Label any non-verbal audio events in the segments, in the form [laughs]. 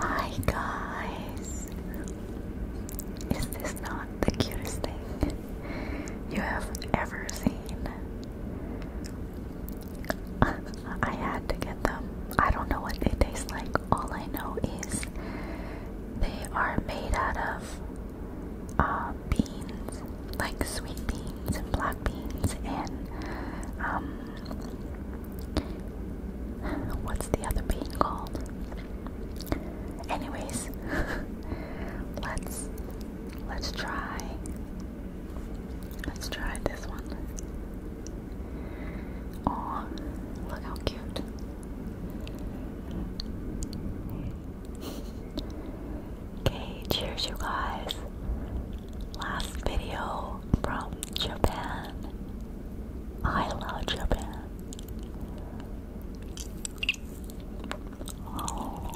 Hi guys! Is this not the cutest thing you have ever seen? [laughs] I had to get them. I don't know what they taste like. All I know is they are made out of uh, beans, like sweet beans and black beans, and um, what's the other bean called? Anyways, [laughs] let's let's try. Let's try this one. Oh, look how cute okay, cheers, you guys. Last video from Japan. I love Japan. Oh.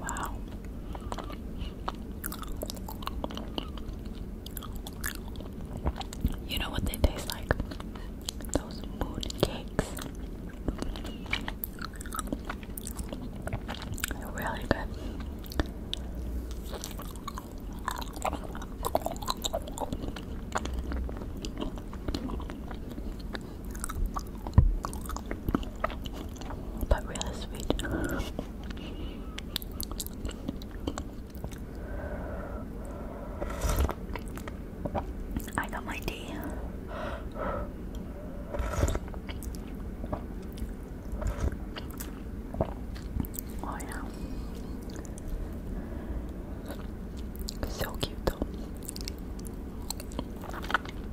Wow. You know what they taste like? Those moon They're really good but really sweet. I got my tea. Oh yeah. So cute though.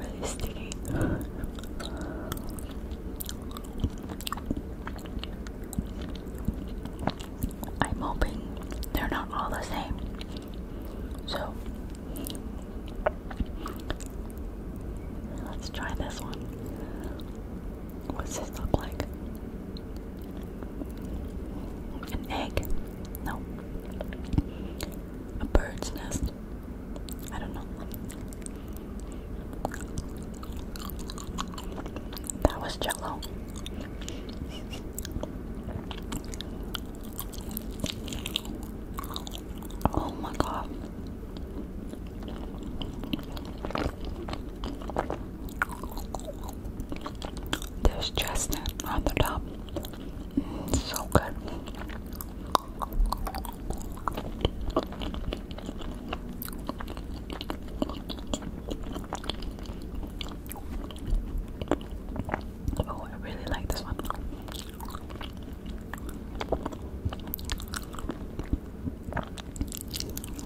Really sticky. I'm hoping they're not all the same. So let's try this one. What's this look like? An egg? No. A bird's nest? I don't know. That was jello. Oh my god. There's chestnut on the top. Mm, so good. Oh, I really like this one.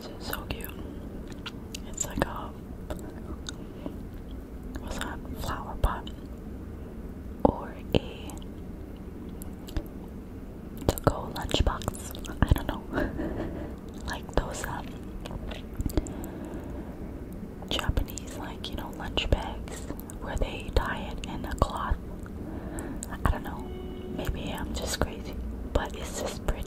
This is so cute. It's like a what's that? Flower pot or a to go lunchbox. I don't know. [laughs] like those um, Japanese like, you know, lunch bags where they tie it in a cloth I don't know. Maybe I'm just crazy, but it's just pretty.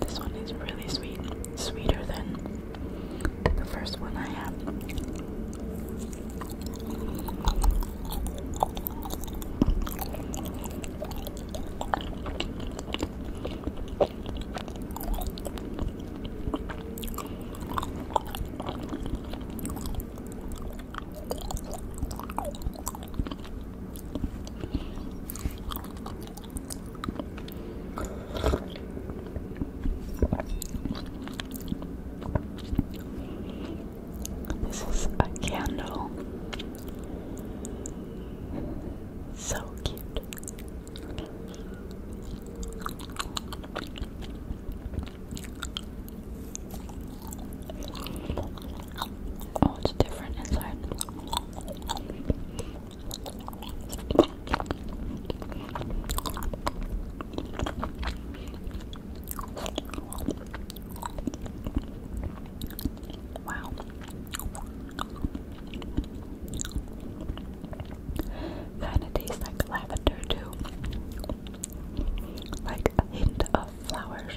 This one is really sweet, sweeter than the first one I had. This is a candle. So cute. Oh, it's different inside. Wow. Kind of tastes like lavender too. Like a hint of flowers.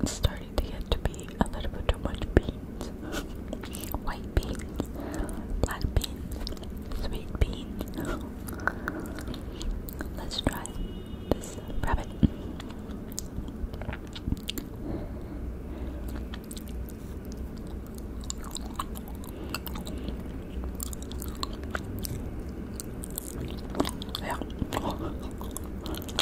It's starting to get to be a little bit too much beans. White beans, black beans, sweet beans. Let's try this rabbit. Yeah.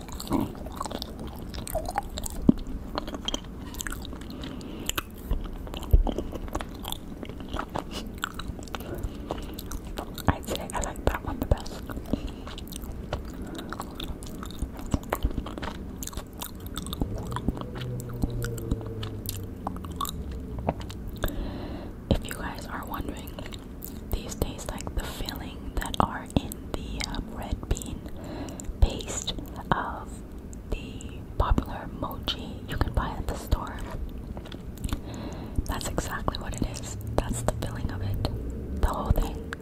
I'd say I like that one the best. If you guys are wondering these days like the filling that are in the um, red bean paste of the popular mochi you can buy at the store. That's exactly what it is. That's the filling of it. The whole thing.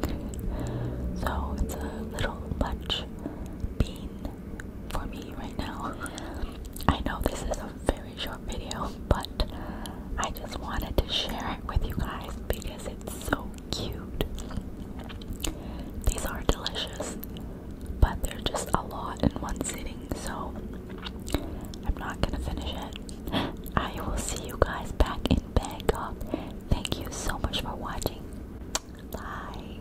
So it's a little lunch bean for me right now. [laughs] I know this is a very short video, um, but I just wanted to share it with you guys because it's so cute. These are delicious, but they're just a lot in one sitting, so I'm not gonna finish it. I will see you guys back in Bangkok. Thank you so much for watching. Bye.